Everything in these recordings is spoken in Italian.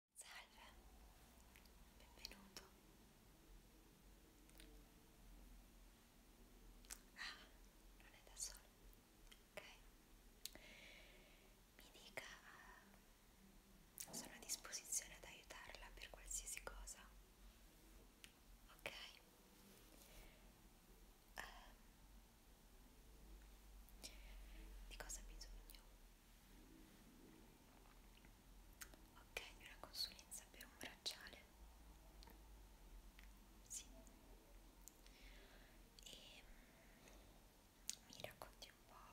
Salve, benvenuto. Ah, non è da solo. Ok. Mi dica, uh, sono a disposizione ad aiutarla per qualsiasi cosa. Ok. Uh, di cosa ha bisogno? Ok, una consulenza per un bracciale. Sì. E mm, mi racconti un po'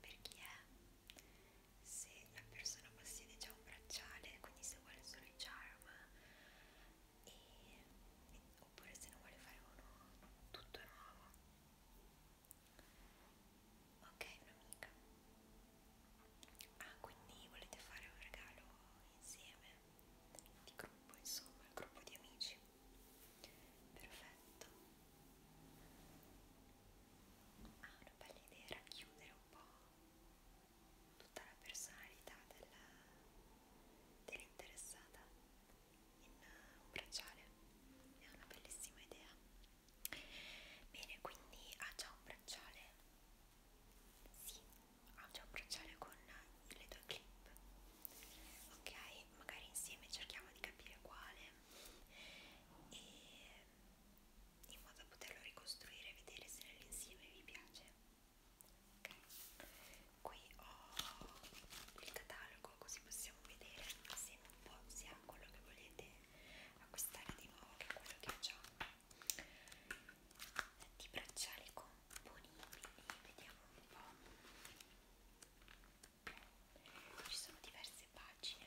per chi è, se la persona possiede già un bracciale, quindi se vuole solo il charm, e, e, oppure se ne vuole fare uno tutto nuovo ok un'amica ah quindi volete fare un regalo insieme di gruppo insomma il gruppo di amici perfetto ah una bella idea era chiudere un po' tutta la personalità dell'interessata dell in un bracciale è una bellissima idea bene quindi ha già un bracciale sì ha già un bracciale con le due clip ok magari insieme cerchiamo di capire quale e in modo da poterlo ricostruire e vedere se nell'insieme vi piace ok qui ho il catalogo così possiamo possiamo vedere insieme un po' sia quello che volete acquistare di nuovo che quello che ho già di bracciali componibili vediamo un po' ci sono diverse pagine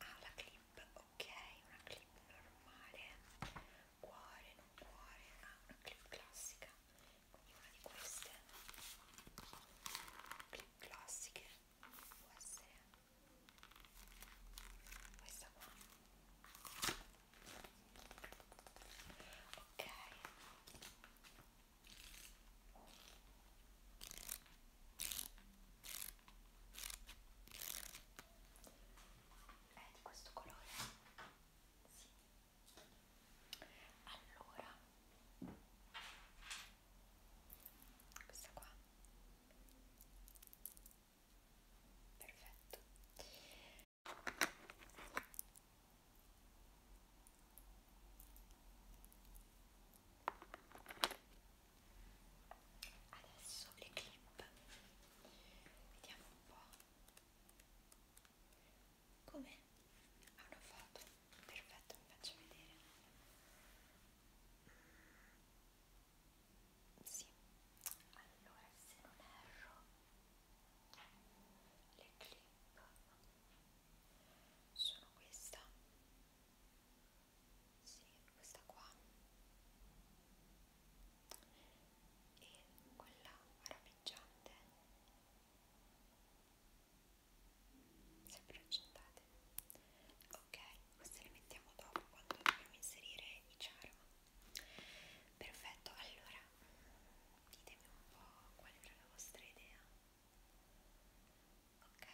Ah, la clip, ok, una clip normale, cuore, non cuore, ah, una clip classica, quindi una di queste clip classiche può essere questa qua. Ok, è di questo colore sì allora questa qua perfetto Adesso le clip, vediamo un po'. Com'è? Ha una foto, perfetto, mi faccio vedere. Sì, allora se non erro, le clip sono questa sì, questa qua e quella arabeggiante sempre accendate ok, queste le mettiamo dopo quando dobbiamo inserire i charm perfetto, allora ditemi un po' qual era la vostra idea ok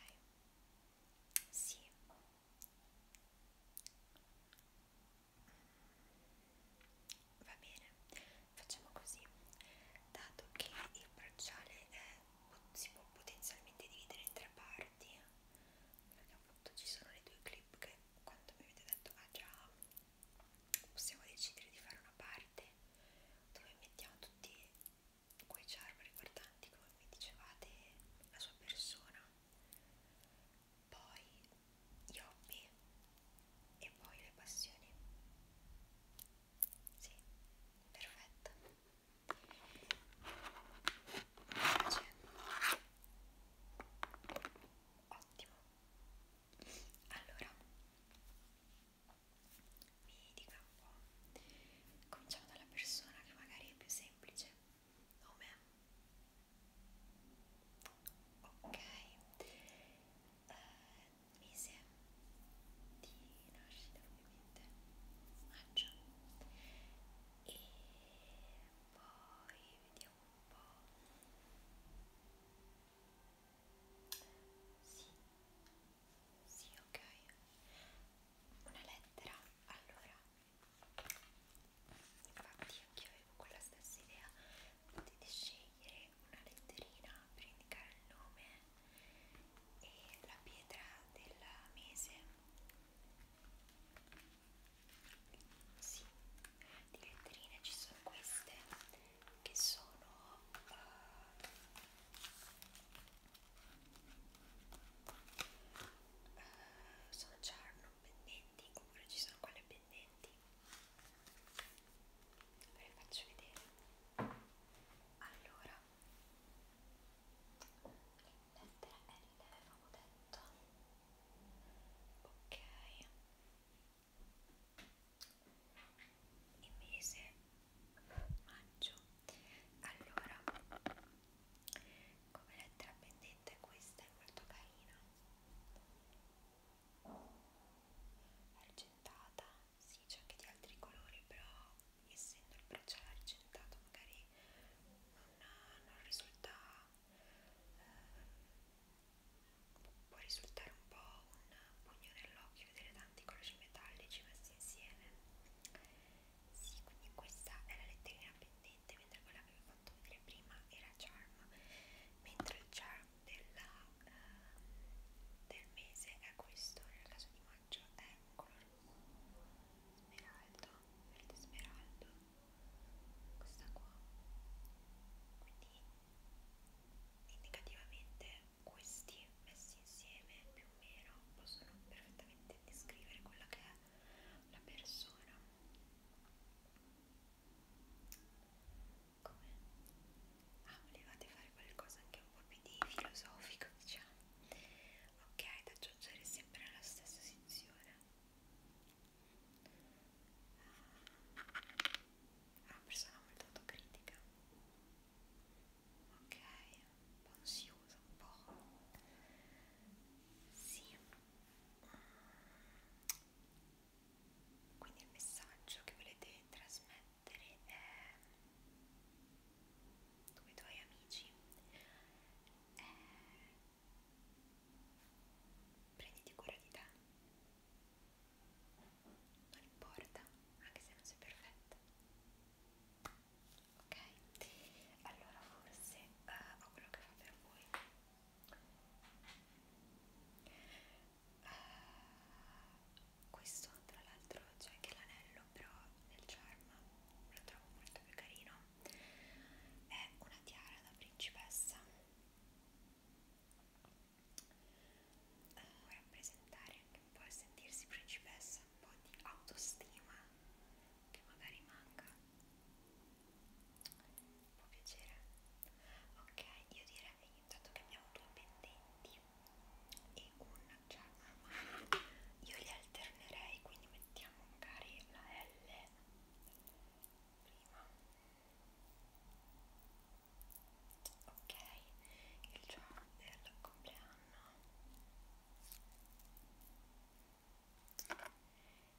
sì va bene facciamo così dato che il bracciale è, si può potenzialmente dividere in tre parti perché appunto ci sono le due clip che quando mi avete detto ah già possiamo decidere di fare una parte dove mettiamo tutti quei charm riguardanti, come mi dicevate, la sua persona, poi gli hobby e poi le passioni. Sì, perfetto. Ottimo. Allora, mi dica un po', cominciamo dalla persona che magari è più semplice, nome, ok, uh, mese di nascita ovviamente, maggio, e poi vediamo un po', sì, sì, ok. Una lettera, allora. Infatti anche io avevo quella stessa idea. Potete scegliere una letterina per indicare il nome e la pietra del mese. Sì, di letterine ci sono queste che sono uh, uh, sono charno pendenti oppure ci sono quelle pendenti ve le faccio vedere allora lettera L avevamo detto ok il mese maggio allora come lettera pendente questa è molto carina argentata sì c'è anche di altri colori però essendo il bracciale argentato magari non, non risulta eh, può risultare un po' un pugno nell'occhio vedere tanti colori metallici messi insieme sì quindi questa è la letterina pendente mentre quella che vi ho fatto vedere prima era charm mentre il charm della, uh, del mese è questo nel caso di maggio è un colore smeraldo verde smeraldo questa qua quindi indicativamente questi messi insieme più o meno possono perfettamente descrivere quella che è la persona come? ah volevate fare qualcosa anche un po' più di filosofico diciamo ok da aggiungere sempre alla stessa sezione è una ah, persona molto autocritica ok, un po' ansiosa, un po' sì quindi il messaggio che volete trasmettere è come i tuoi amici è prenditi cura di te non importa anche se non sei perfetta ok allora forse uh, ho quello che fa per voi uh, questo tra l'altro c'è anche l'anello però nel charm lo trovo molto più carino è una tiara da principessa uh, rappresentare anche un po' il sentirsi principessa, un po' di autostima che magari manca. Può piacere? Ok, io direi intanto che abbiamo due pendenti e un charm. Io li alternerei, quindi mettiamo magari la L prima ok il giorno del compleanno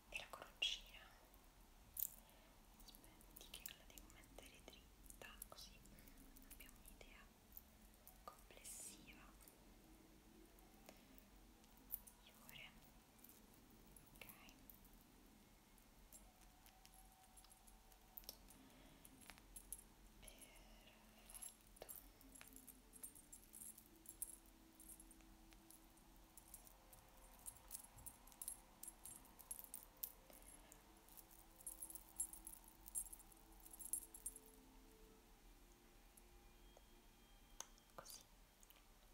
e la coroncina aspetti che la devo mettere dritta così abbiamo un'idea complessiva migliore ok Così,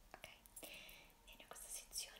ok, bene, questa sezione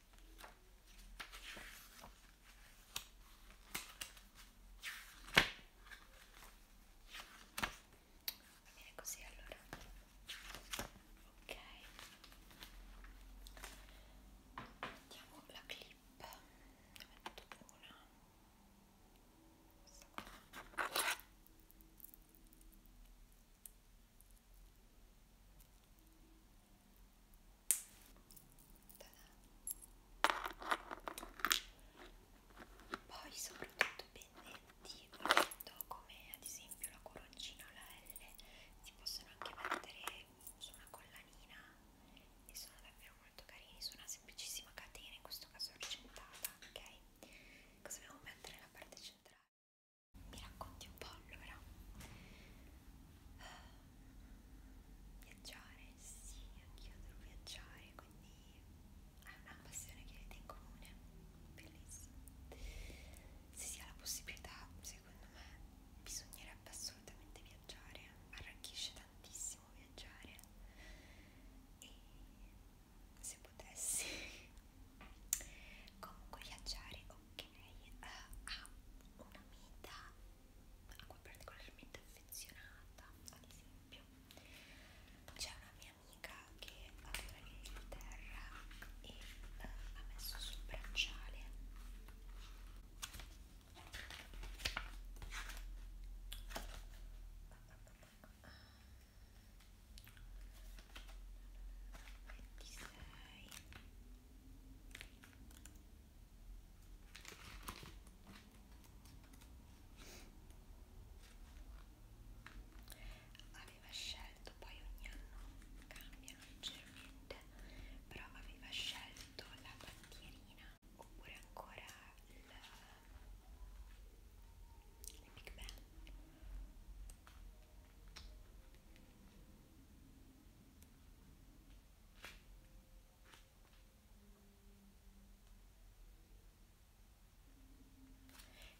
Va bene così allora. Ok. Mettiamo la clip. Ne metto una. Questa qua. Ok, poi soprattutto i pendenti, come ad esempio la coroncina o la L, si possono anche mettere su una collanina e sono davvero molto carini, su una semplicissima catena, in questo caso argentata, ok? Cosa dobbiamo mettere nella parte centrale? Mi racconti un po' allora? Viaggiare, sì, anch'io adoro viaggiare, quindi è una passione che avete in comune, bellissimo. Se si ha la possibilità, secondo me, bisognerebbe assolutamente viaggiare, arricchisce tantissimo viaggiare e se potessi comunque viaggiare ok ha uh, ah, una meta a cui particolarmente affezionata, ad esempio. C'è una mia amica che adora l'Inghilterra e eh, ha messo sul bracciale ventisei Aveva scelto, poi ogni anno cambiano leggermente, però aveva scelto la bandierina oppure ancora il, il Big Ben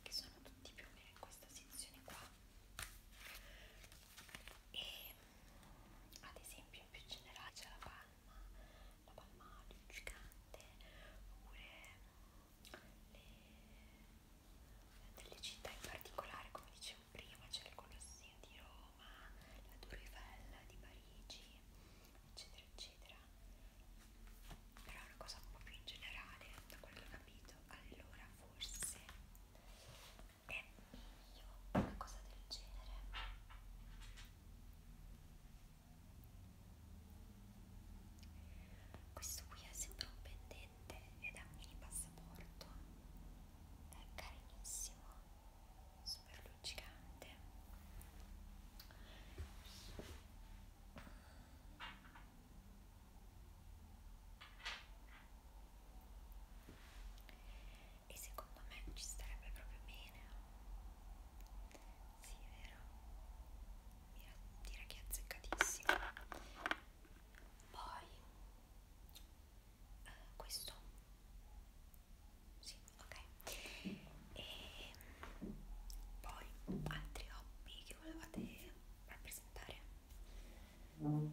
che sono tutti più o meno in questa sezione qua e mm, ad esempio in più generale c'è la palma la palma luccicante oppure mm, le, delle città in particolare come dicevo prima c'era il Colosseo di Roma, la Tour Eiffel di Parigi, eccetera, eccetera. Però è una cosa un po' più in generale, da quello che ho capito. Allora, forse è meglio una cosa del genere. Questo qui è sempre un pendente magliette e da mini passaporto è carinissimo super luccicante e secondo me ci starebbe proprio bene sì vero Mira, direi che è azzeccatissimo poi eh, questo sì ok e poi altri hobby che volevate rappresentare ah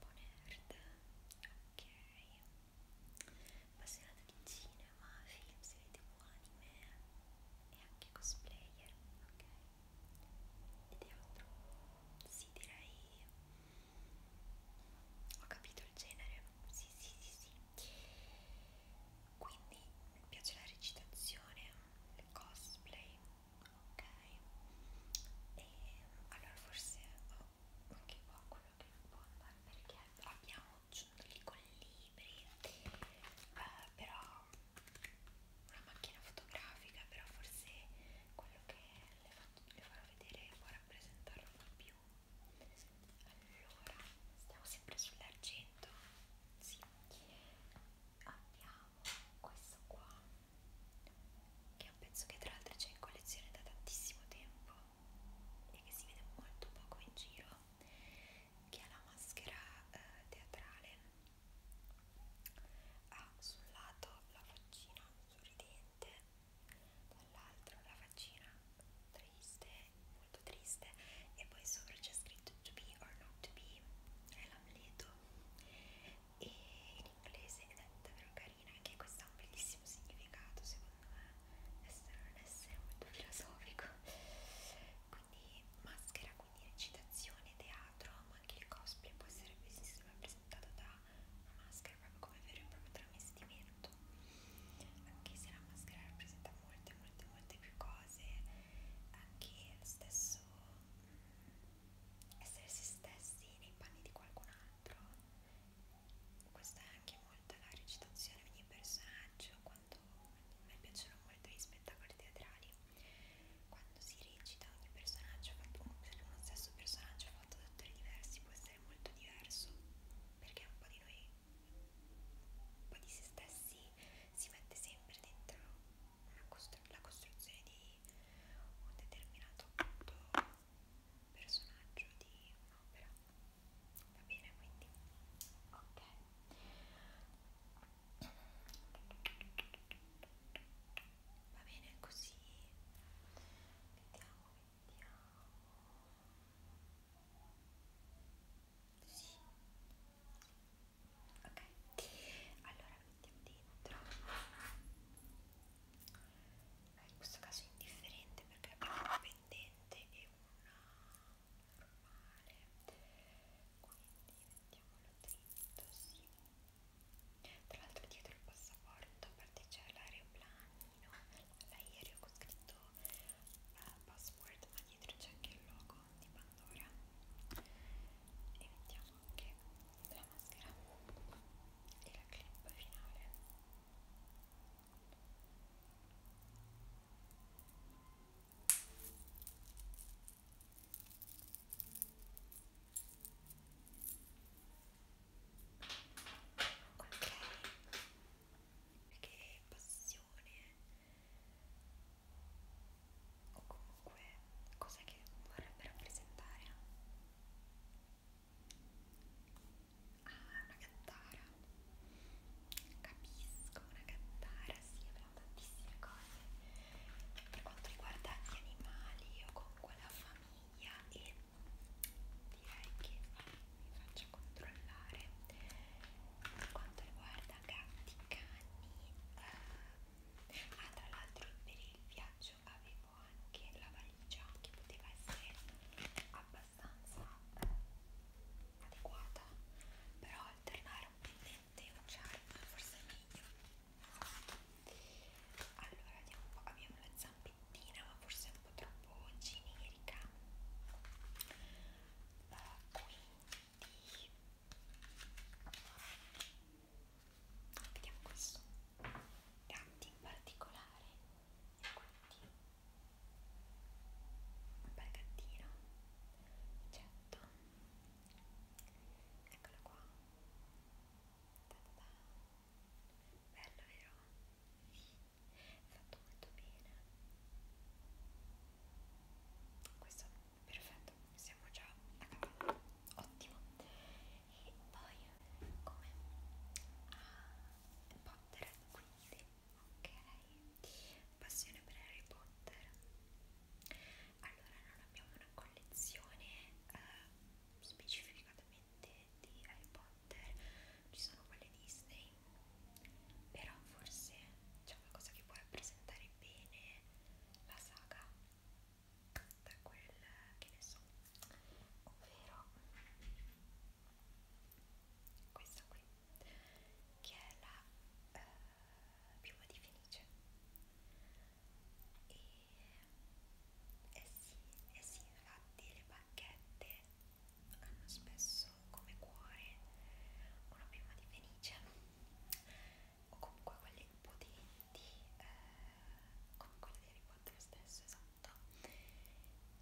bonert ok appassionata di cinema film serie tv anime e anche cosplayer ok ed è altro. Sì, direi. Ho capito il genere. Sì, sì, sì, sì. Quindi mi piace la recitazione, il cosplay. Ok. E allora forse ho oh, anche qua quello che non può andare perché abbiamo giunto lì con libri. Eh, però una macchina fotografica però forse quello che le, fatto, le farò vedere può rappresentarlo di più allora stiamo sempre sull'argento sì abbiamo questo qua che è un pezzo che tra l'altro c'è in collezione da tantissimo tempo e che si vede molto poco in giro che è la maschera eh, teatrale ha ah, sul lato la faccina sorridente, dall'altro la faccina triste, molto triste, e poi sopra c'è scritto to be or not to be, è l'amleto, e in inglese ed è davvero carina, anche questo ha un bellissimo significato secondo me, essere non essere molto filosofico quindi maschera, quindi recitazione, teatro, ma anche il cosplay può essere rappresentato da una maschera proprio come vero e proprio travestimento, anche se la maschera rappresenta molte, molte, molte più cose, anche lo stesso essere se stessi nei panni di qualcun altro. Questa è anche molto la recitazione di ogni personaggio, quando a me piacciono i tuoi spettacoli teatrali quando si recita ogni personaggio fatto, uno stesso personaggio fatto da attori diversi può essere molto diverso perché un po' di noi un po' di se stessi si mette sempre dentro costru la costruzione di un determinato appunto personaggio di un'opera va bene quindi ok va bene così vediamo vediamo sì ok allora mettiamo dentro in questo caso è indifferente perché abbiamo un pendente e una normale quindi mettiamolo dentro addosso. Tra l'altro dietro il passaporto, a parte c'è l'aeroplanino, l'aereo con scritto uh, password, ma dietro c'è anche il logo di Pandora. E mettiamo anche la maschera e la clip finale. Ecco Ok, perché passione o comunque cosa che vorrebbe rappresentare? Ah, è una cantara, capisco come una cantara, sì, abbiamo tantissime cose per quanto riguarda gli animali o comunque la famiglia e direi che mi faccio controllare per quanto riguarda gatti, cani eh, ah tra l'altro per il viaggio avevo anche la valigia che poteva essere abbastanza eh, adeguata però alternare un pennello devo usare ma forse è meglio allora andiamo un po'. abbiamo la zampettina ma forse è un po' troppo generica uh, quindi vediamo questo gatti in particolare e quindi un bel gattino certo Eccola qua. Ta -ta -ta. Bella, vero? È fatto molto bene. Questo perfetto, siamo già a cavallo. Ottimo. E poi come a ah, Potter, quindi ok passione per Harry Potter allora non abbiamo una collezione eh, specificatamente di Harry Potter ci sono quelle Disney però forse c'è qualcosa che può rappresentare bene la saga da quel che ne so ovvero questa qui che è la eh, piuma di Fenice e eh sì, eh sì infatti le bacchette hanno spesso come cuore una piuma di Fenice o comunque quelle potenti eh, come quelle di Harry Potter stesso esatto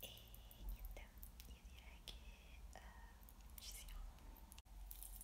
e niente io direi che eh, ci siamo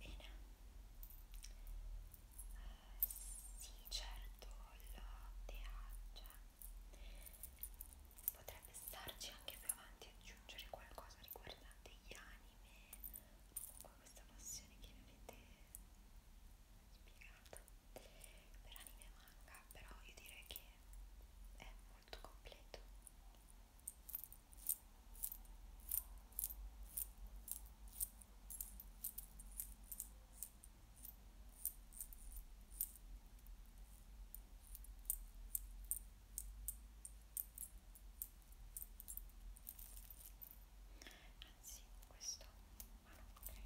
Bene, uh, sì, certo, latte cioè, potrebbe starci anche più avanti aggiungere qualcosa riguardante gli anime, comunque questa passione che mi avete spiegato per anime manga, però io direi che è molto completo. Anzi, questo, ah no, ok, no,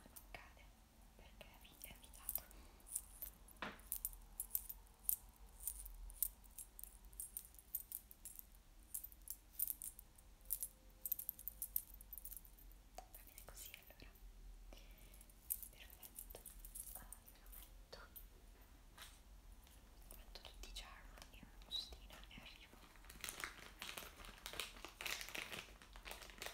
non cade perché è avviato va bene così allora perfetto allora metto metto tutti i charm in una bustina e arrivo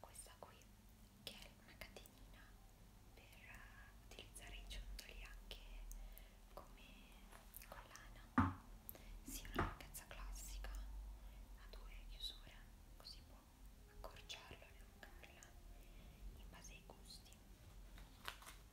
questa qui che è una catenina per eh, utilizzare i ciondoli anche come collana sia sì, una lunghezza classica a due chiusure così può accorciarla allungarla in base ai gusti poi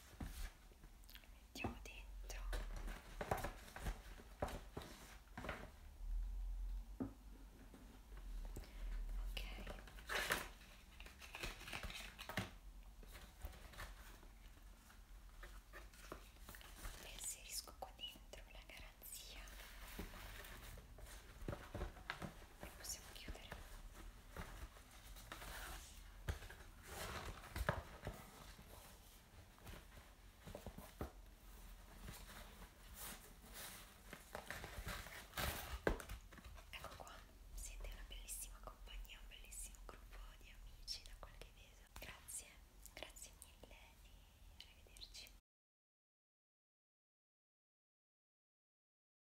mettiamo dentro ok e inserisco qua dentro la garanzia e possiamo chiudere ok Ecco qua, siete una bellissima compagnia, un bellissimo gruppo di amici da quel che vedo. Grazie, grazie mille e arrivederci.